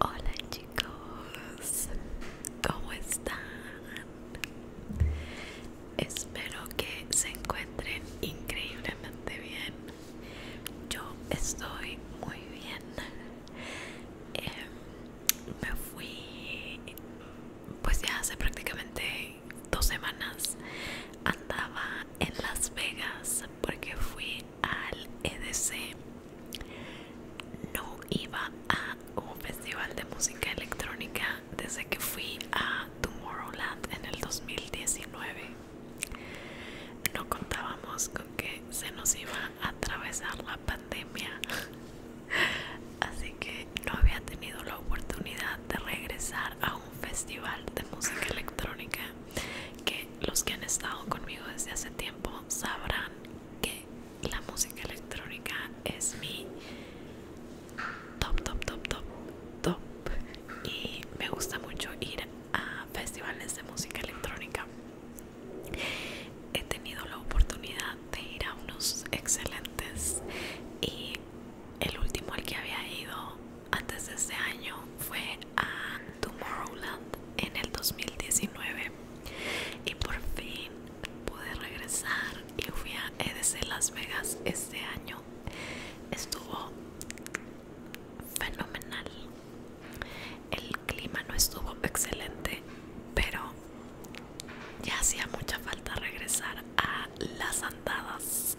Hola chicos, ¿cómo están? Espero que se encuentren increíblemente bien yo estoy muy bien em, me fui pues ya hace prácticamente dos semanas andaba en Las Vegas porque fui al EDC no iba a un festival de música electrónica desde que fui a Tomorrowland en el 2019 no contábamos con que se nos iba a atravesar la pandemia, así que no había tenido la oportunidad de regresar a un festival de música electrónica que los que han estado conmigo desde hace tiempo sabrán que la música electrónica es mi top, top, top, top, top. Y me gusta mucho ir a festivales de música electrónica. He tenido la oportunidad de ir a unos excelentes y el último al que había ido antes de este año fue a Tomorrowland en el 2019 y por fin pude regresar y fui a EDC Las Vegas este año. Estuvo fenomenal el clima no estuvo excelente, pero ya hacía mucha falta regresar a las andadas.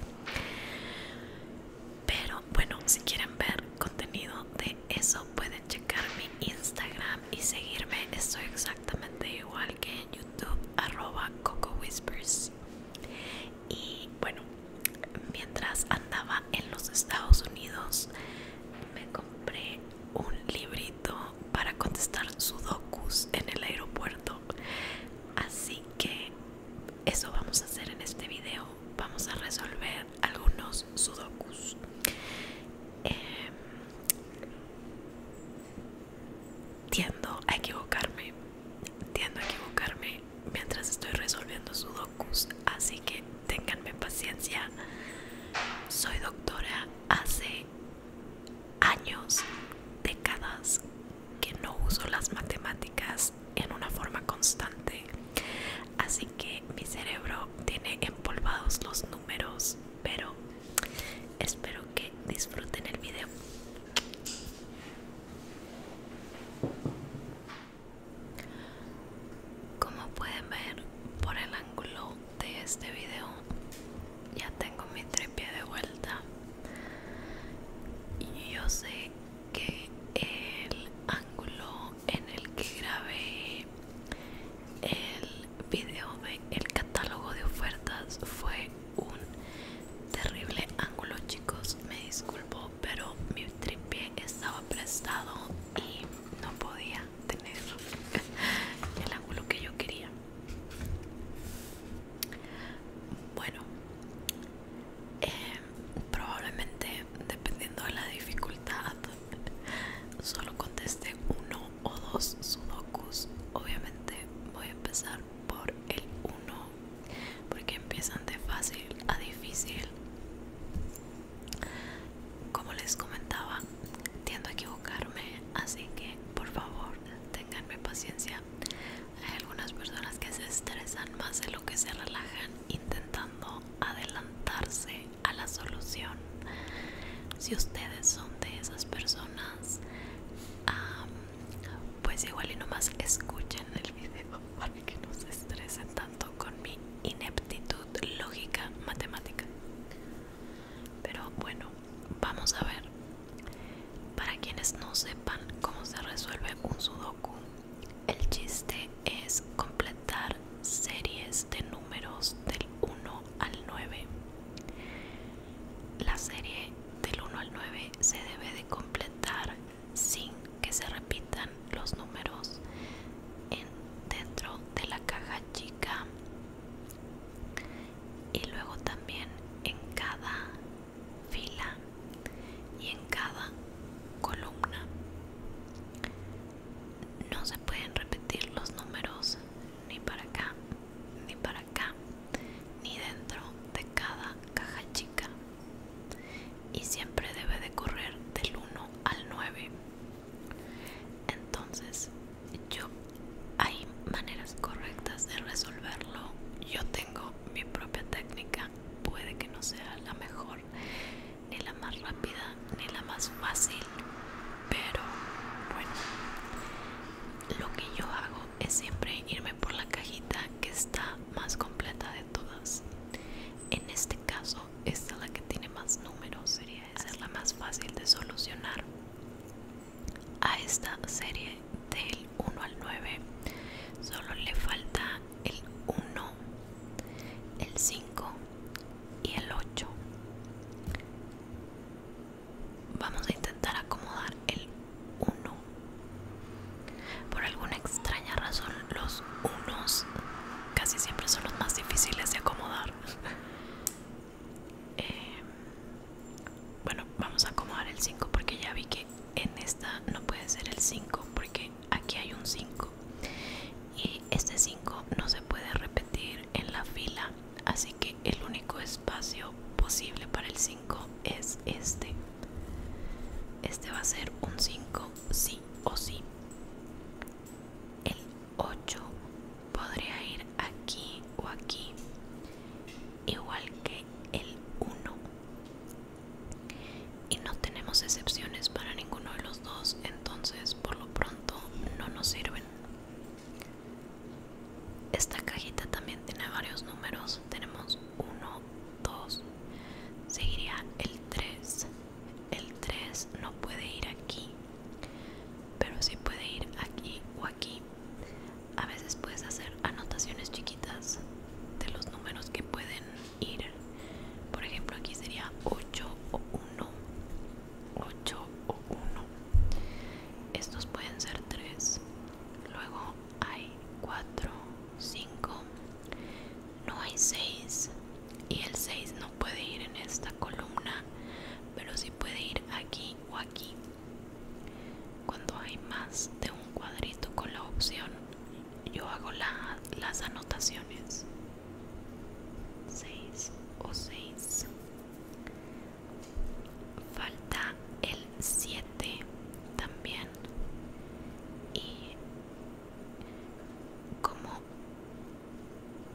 Pero bueno, si quieren ver contenido de eso, pueden checar mi Instagram y seguirme. Estoy exactamente igual que en YouTube, arroba Coco Whispers y bueno mientras andaba en los Estados Unidos me compré un librito para contestar sudokus en el aeropuerto así que eso vamos a hacer en este video vamos a resolver algunos sudokus em, tiendo a equivocarme tiendo a equivocarme mientras estoy resolviendo sudokus, así que tenganme paciencia. Soy doctora hace años, décadas que no uso las matemáticas en una forma constante, así que mi cerebro tiene empolvados los números, pero espero que disfruten el video. Como pueden ver por el ángulo de este video, ya tengo mi tripié de vuelta. Y yo sé que el ángulo en el que grabé el video del el catálogo de ofertas fue un terrible ángulo chico me disculpo, pero mi tripié estaba prestado y no podía tener el ángulo que yo quería. Bueno, em, probablemente dependiendo de la dificultad, solo contesté uno o dos sudokus. Obviamente voy a empezar por el uno porque empiezan de fácil a difícil como les comentaba tiendo a equivocarme así que por favor tenganme paciencia hay algunas personas que se estresan más de lo que se relajan intentando adelantarse a la solución si ustedes son de esas personas pues igual y nomás escuchen el video para que no se estresen tanto con mi ineptitud lógica matemática. Pero bueno, vamos a ver. Para quienes no sepan cómo se resuelve un sudoku, el chiste es completar series de números del 1 al 9. La serie del 1 al 9 se debe de completar sin que se repitan los números dentro de la caja chica y luego también en cada fila y en cada columna no se pueden repetir los números ni para acá ni para acá ni dentro de cada caja chica y siempre debe de correr del 1 al 9 entonces yo hay maneras correctas de resolverlo yo tengo mi propia técnica puede que no sea la mejor ni la más rápida ni la más fácil pero bueno lo que yo hago es siempre irme por la cajita que está más completa todas en este caso esta la que tiene más números sería esa es la más fácil de solucionar a esta serie del 1 al 9 solo le falta el 1 el 5 y el 8 vamos a intentar acomodar el uno. Por alguna extraña razón, los unos casi siempre son los más difíciles de acomodar. Eh, bueno, vamos a acomodar el 5 porque ya vi que en esta no puede ser el 5 porque aquí hay un 5 y este 5 no se puede repetir en la fila así que el único espacio posible para el 5 es este. Este va a ser un 5 sí o sí. El 8 podría ir aquí o aquí. Igual que el 1. Y no tenemos excepciones para ninguno de los dos. Entonces por lo pronto no nos sirven. Esta cajita también tiene varios números. Tenemos 1, 2 seguiría el 3 el 3 no puede ir aquí pero sí puede ir aquí o aquí a veces puedes hacer anotaciones chiquitas de los números que pueden ir por ejemplo aquí sería 8 o 1 8 o 1 estos pueden ser 3 luego hay 4 5 no hay 6 y el 6 no puede ir en esta columna pero si puede ir aquí o aquí cuando hay más de un cuadrito con la opción yo hago las anotaciones 6 o 6 falta el 7 también y como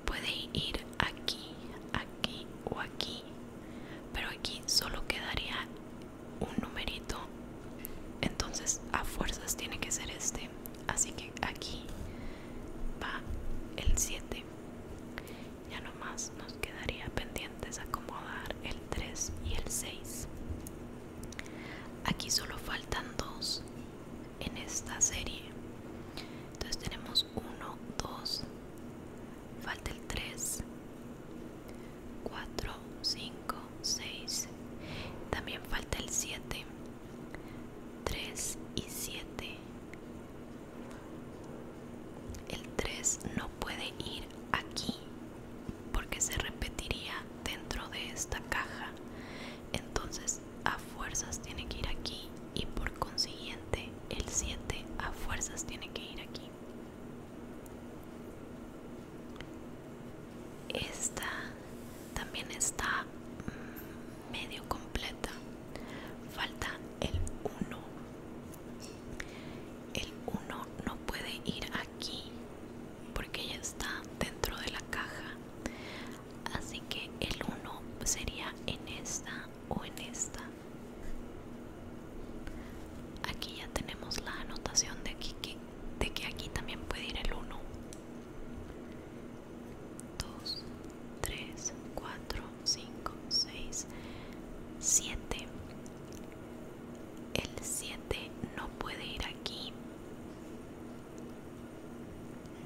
puede ir aquí, aquí o aquí, pero aquí solo quedaría un numerito, entonces a fuerzas tiene que ser este, así que aquí va el 7. Ya nomás nos quedaría pendientes acomodar el 3 y el 6. Aquí solo faltan dos en esta serie. Entonces tenemos 1, 2, falta el 3, 4, 5, 6. También falta el 7. 3 y 7. El 3 no puede ir aquí porque se repetiría dentro de esta caja entonces a fuerzas tiene que ir aquí y por consiguiente el 7 a fuerzas tiene que ir aquí esta también está mm, medio completa falta el 1 el 1 no puede ir aquí porque ya está dentro de la caja así que el 1 sería en esta o en esta aquí ya tenemos la anotación de, de que aquí también puede ir el 1 2 3 4 5 6 7 el 7 no puede ir aquí.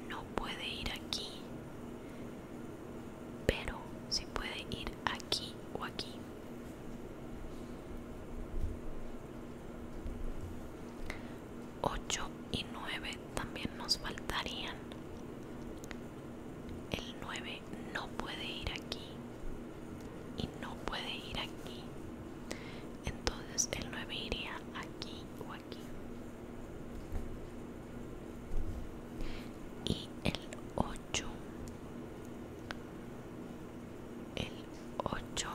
No puede ir aquí. Pero si puede ir aquí o aquí. Ocho y nueve también nos faltarían. El 9 no puede ir aquí y no puede ir aquí entonces el 9 iría aquí o aquí y el 8 el 8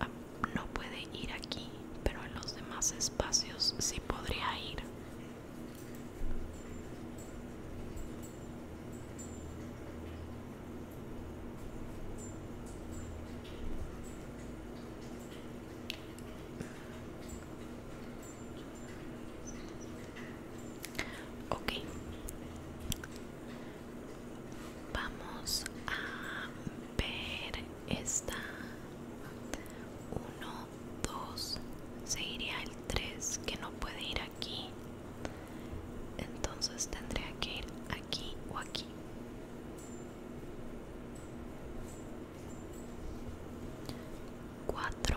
ah, no puede ir aquí pero en los demás espacios sí podría ir Ok, vamos a ver esta 1, 2, seguiría el 3 que no puede ir aquí entonces tendría que ir aquí o aquí. 4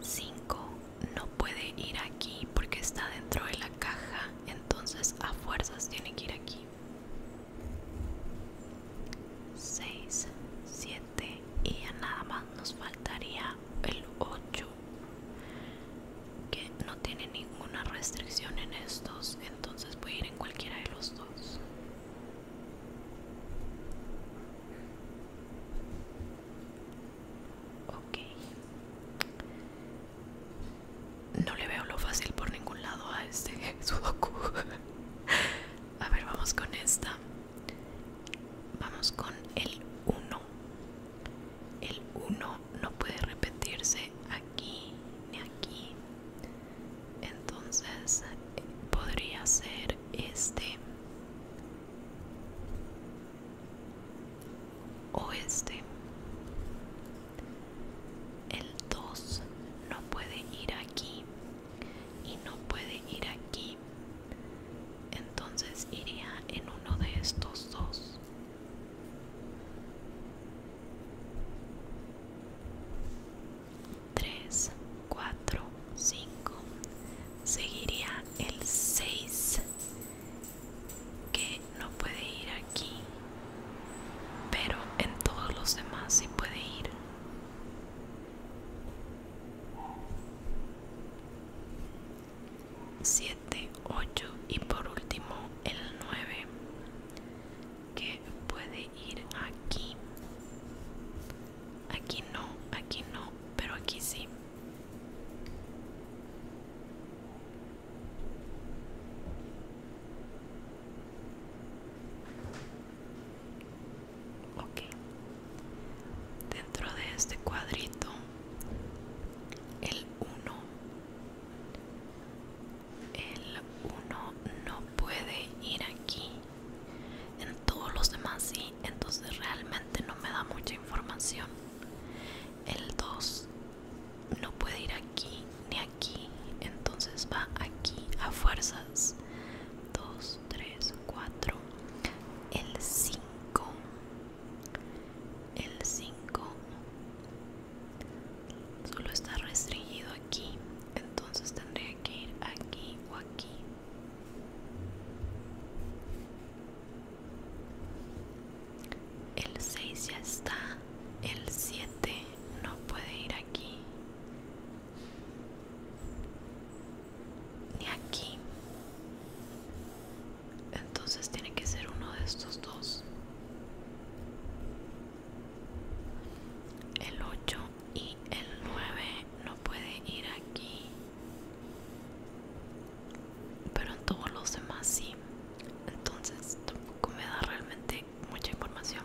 5 No puede ir aquí porque está dentro de la caja. Entonces a fuerzas tiene que ir aquí. 6, 7 y ya nada más nos faltaría el 8 que no tiene ninguna restricción en estos entonces voy a ir en cualquiera de los dos ok no le veo lo fácil por ningún lado a este sudoku a ver vamos con esta Vamos con el 1. El 1 no puede repetirse aquí ni aquí. Entonces podría ser este o este. El 2 no puede ir aquí y no puede ir aquí entonces iría en uno de estos dos tres cuatro cinco seguiría el 6 que no puede ir aquí pero en todos los demás sí puede ir 7, 8 y por último el 9 que puede ir aquí aquí no aquí no pero aquí sí ok Dentro de este cuadrito, el 1, el 1 no puede ir aquí. En todos los demás sí, entonces realmente no me da mucha información. El 2 no puede ir aquí ni aquí, entonces va aquí a fuerzas. 2, 3, 4. El 5 el 5 solo está restringido aquí, entonces tendría que ir aquí o aquí. El 6 ya está, el 7 no puede ir aquí ni aquí entonces tiene que ser uno de estos dos el 8 y el 9 no puede ir aquí pero en todos los demás sí entonces tampoco me da realmente mucha información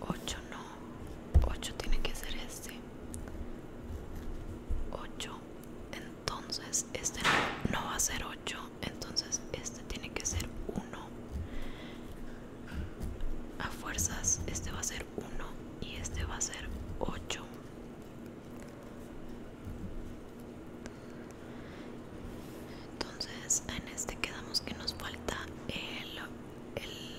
8 no 8 tiene que ser este 8 entonces este no, va a ser 8 entonces este tiene que ser 1 a fuerzas este va a ser 1 y este va a ser 8 entonces en este quedamos que nos falta el, el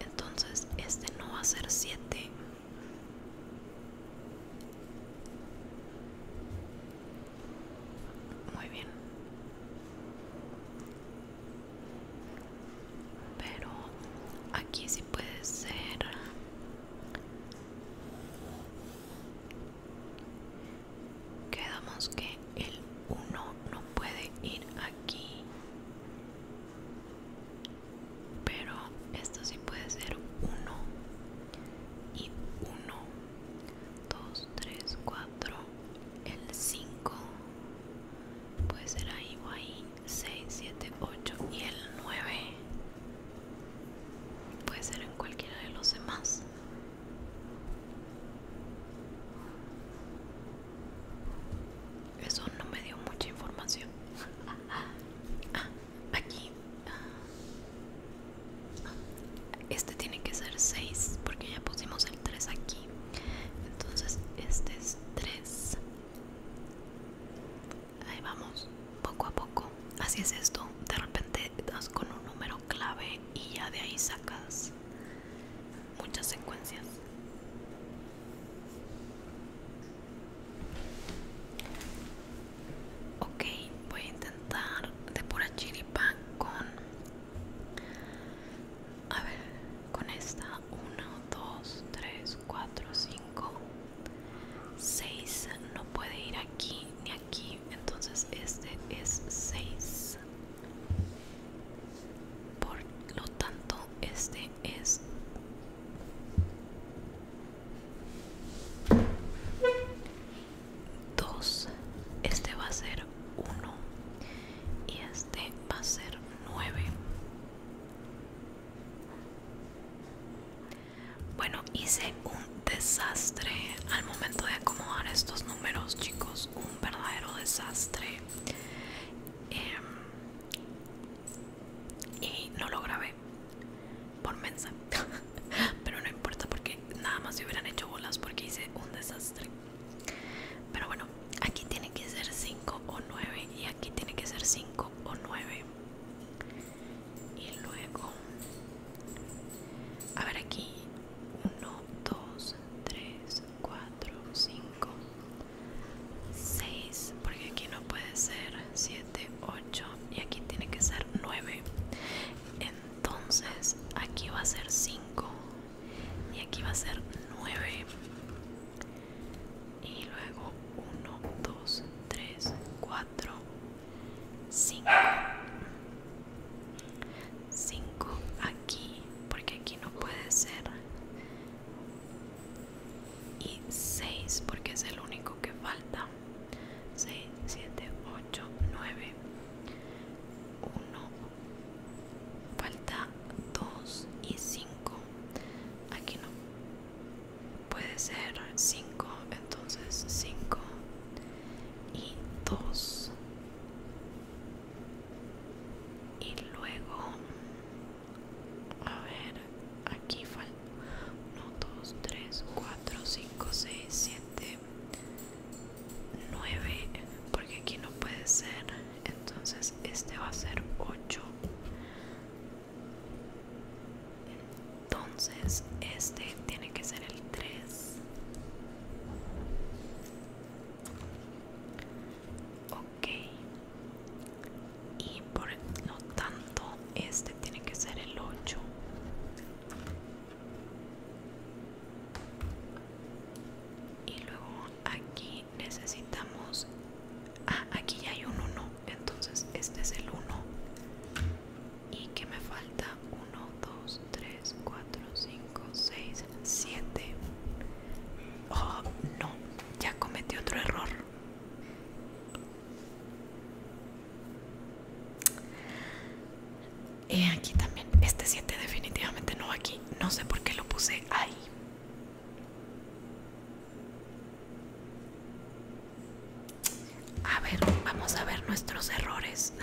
entonces este no va a ser 7 muy bien pero aquí sí puede ser quedamos que el 1 no puede ir aquí pero esto sí puede ser 1 y 1 2 3 4 el 5 puede ser ahí o ahí 6 7 8 y el 9 puede ser en cualquiera de los demás eso no me dio mucha información. aquí. Ah, este tiene que ser 6 porque ya pusimos el 3 aquí. Entonces este es 3. Ahí vamos, poco a poco. Así es esto. De repente das con un número clave y ya de ahí sacas muchas secuencias. Ok, voy a intentar de pura chiripa con... A ver, con esta 1, 2, 3, 4, 5, 6. No puede ir aquí ni aquí, entonces este es 6. Por lo tanto, este es dos este va a ser uno y este va a ser 9 bueno hice un desastre al momento de acomodar estos números chicos un verdadero desastre em, y no lo grabé por mensa pero no importa porque nada más se hubieran hecho bolas porque hice un desastre pero bueno aquí tiene que ser 5 o 9 y aquí tiene que ser 5 o 9 y luego a ver aquí 1 2 3 4 5 5 6 porque aquí no puede ser 7 8 y aquí tiene que ser 9 entonces aquí va a ser 5 y aquí va a ser 9 y luego 1 2 3 4 5 5 aquí porque aquí no puede ser y 6 porque es el único que falta 6 7 8 9 1 falta 2 y 5 aquí no puede ser 5 entonces 5 y 2 y luego a ver aquí falta 1 2 3 4 5 6 7 9 porque aquí no puede ser entonces este va a ser 8 entonces este tiene que ser el 3 ok y por lo tanto este tiene que ser el 8 y luego aquí necesitamos ah aquí ya hay un 1 entonces este es el 1 y que me falta 1 2 3 4 5 con 6, 7. Oh, no, ya cometí otro error. Y aquí también, este 7 definitivamente no aquí. No sé por qué lo puse ahí. A ver, vamos a ver nuestros errores.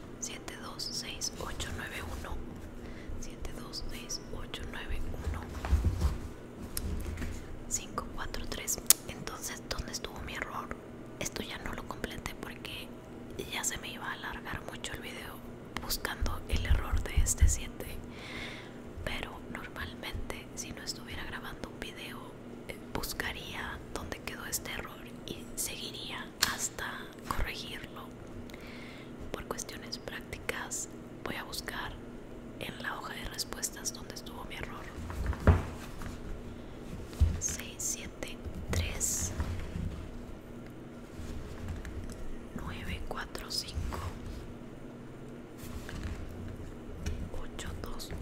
726891 726891 543 entonces dónde estuvo mi error esto ya no lo completé porque ya se me iba a alargar mucho el video buscando el error de este 7 pero normalmente si no estuviera grabando un video eh, buscaría dónde quedó este error y seguiría hasta corregirlo. Por cuestiones prácticas voy a buscar en la hoja de respuestas donde estuvo mi error. 6, 7, 3, 9, 4, 5, 8, 2, 1,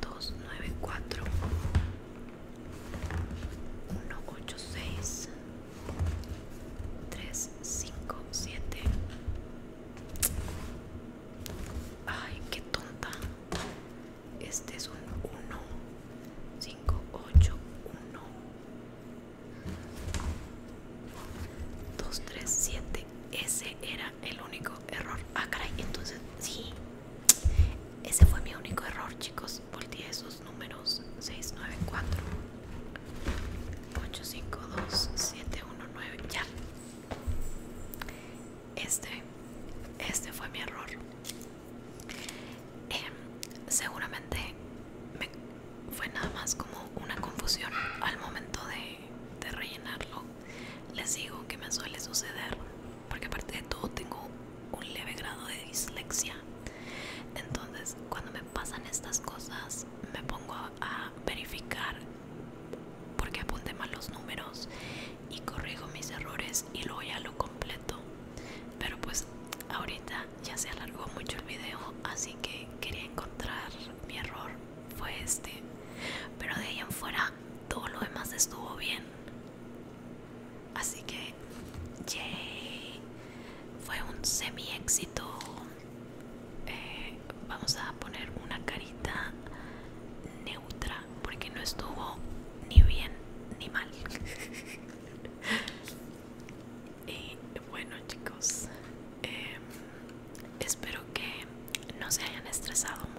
2, 9, 4, 1, 8, 6 3, 5, 7 Ay, qué tonta Este es un 1 5, 8, 1 2, 3, 7 Ese era el único error Ah, caray, entonces sí ese fue mi único error, chicos. Volteé esos números 694 852 719. Ya. Este, este fue mi error. Em, seguramente fue nada más como una confusión al momento de rellenarlo. Les digo que me suele suceder porque aparte de todo tengo un leve grado de dislexia. Entonces, cuando me pasan estas cosas, me pongo a verificar porque apunte mal los números y corrijo mis errores y luego ya lo completo. Pero pues ahorita ya se alargó mucho el video, así que quería encontrar mi error. Fue este. Pero de ahí en fuera todo lo demás estuvo bien. Así que, fue un semi éxito. Eh, vamos a poner una carita neutra porque no estuvo ni bien ni mal. y bueno, chicos, em, espero que no se hayan estresado mucho.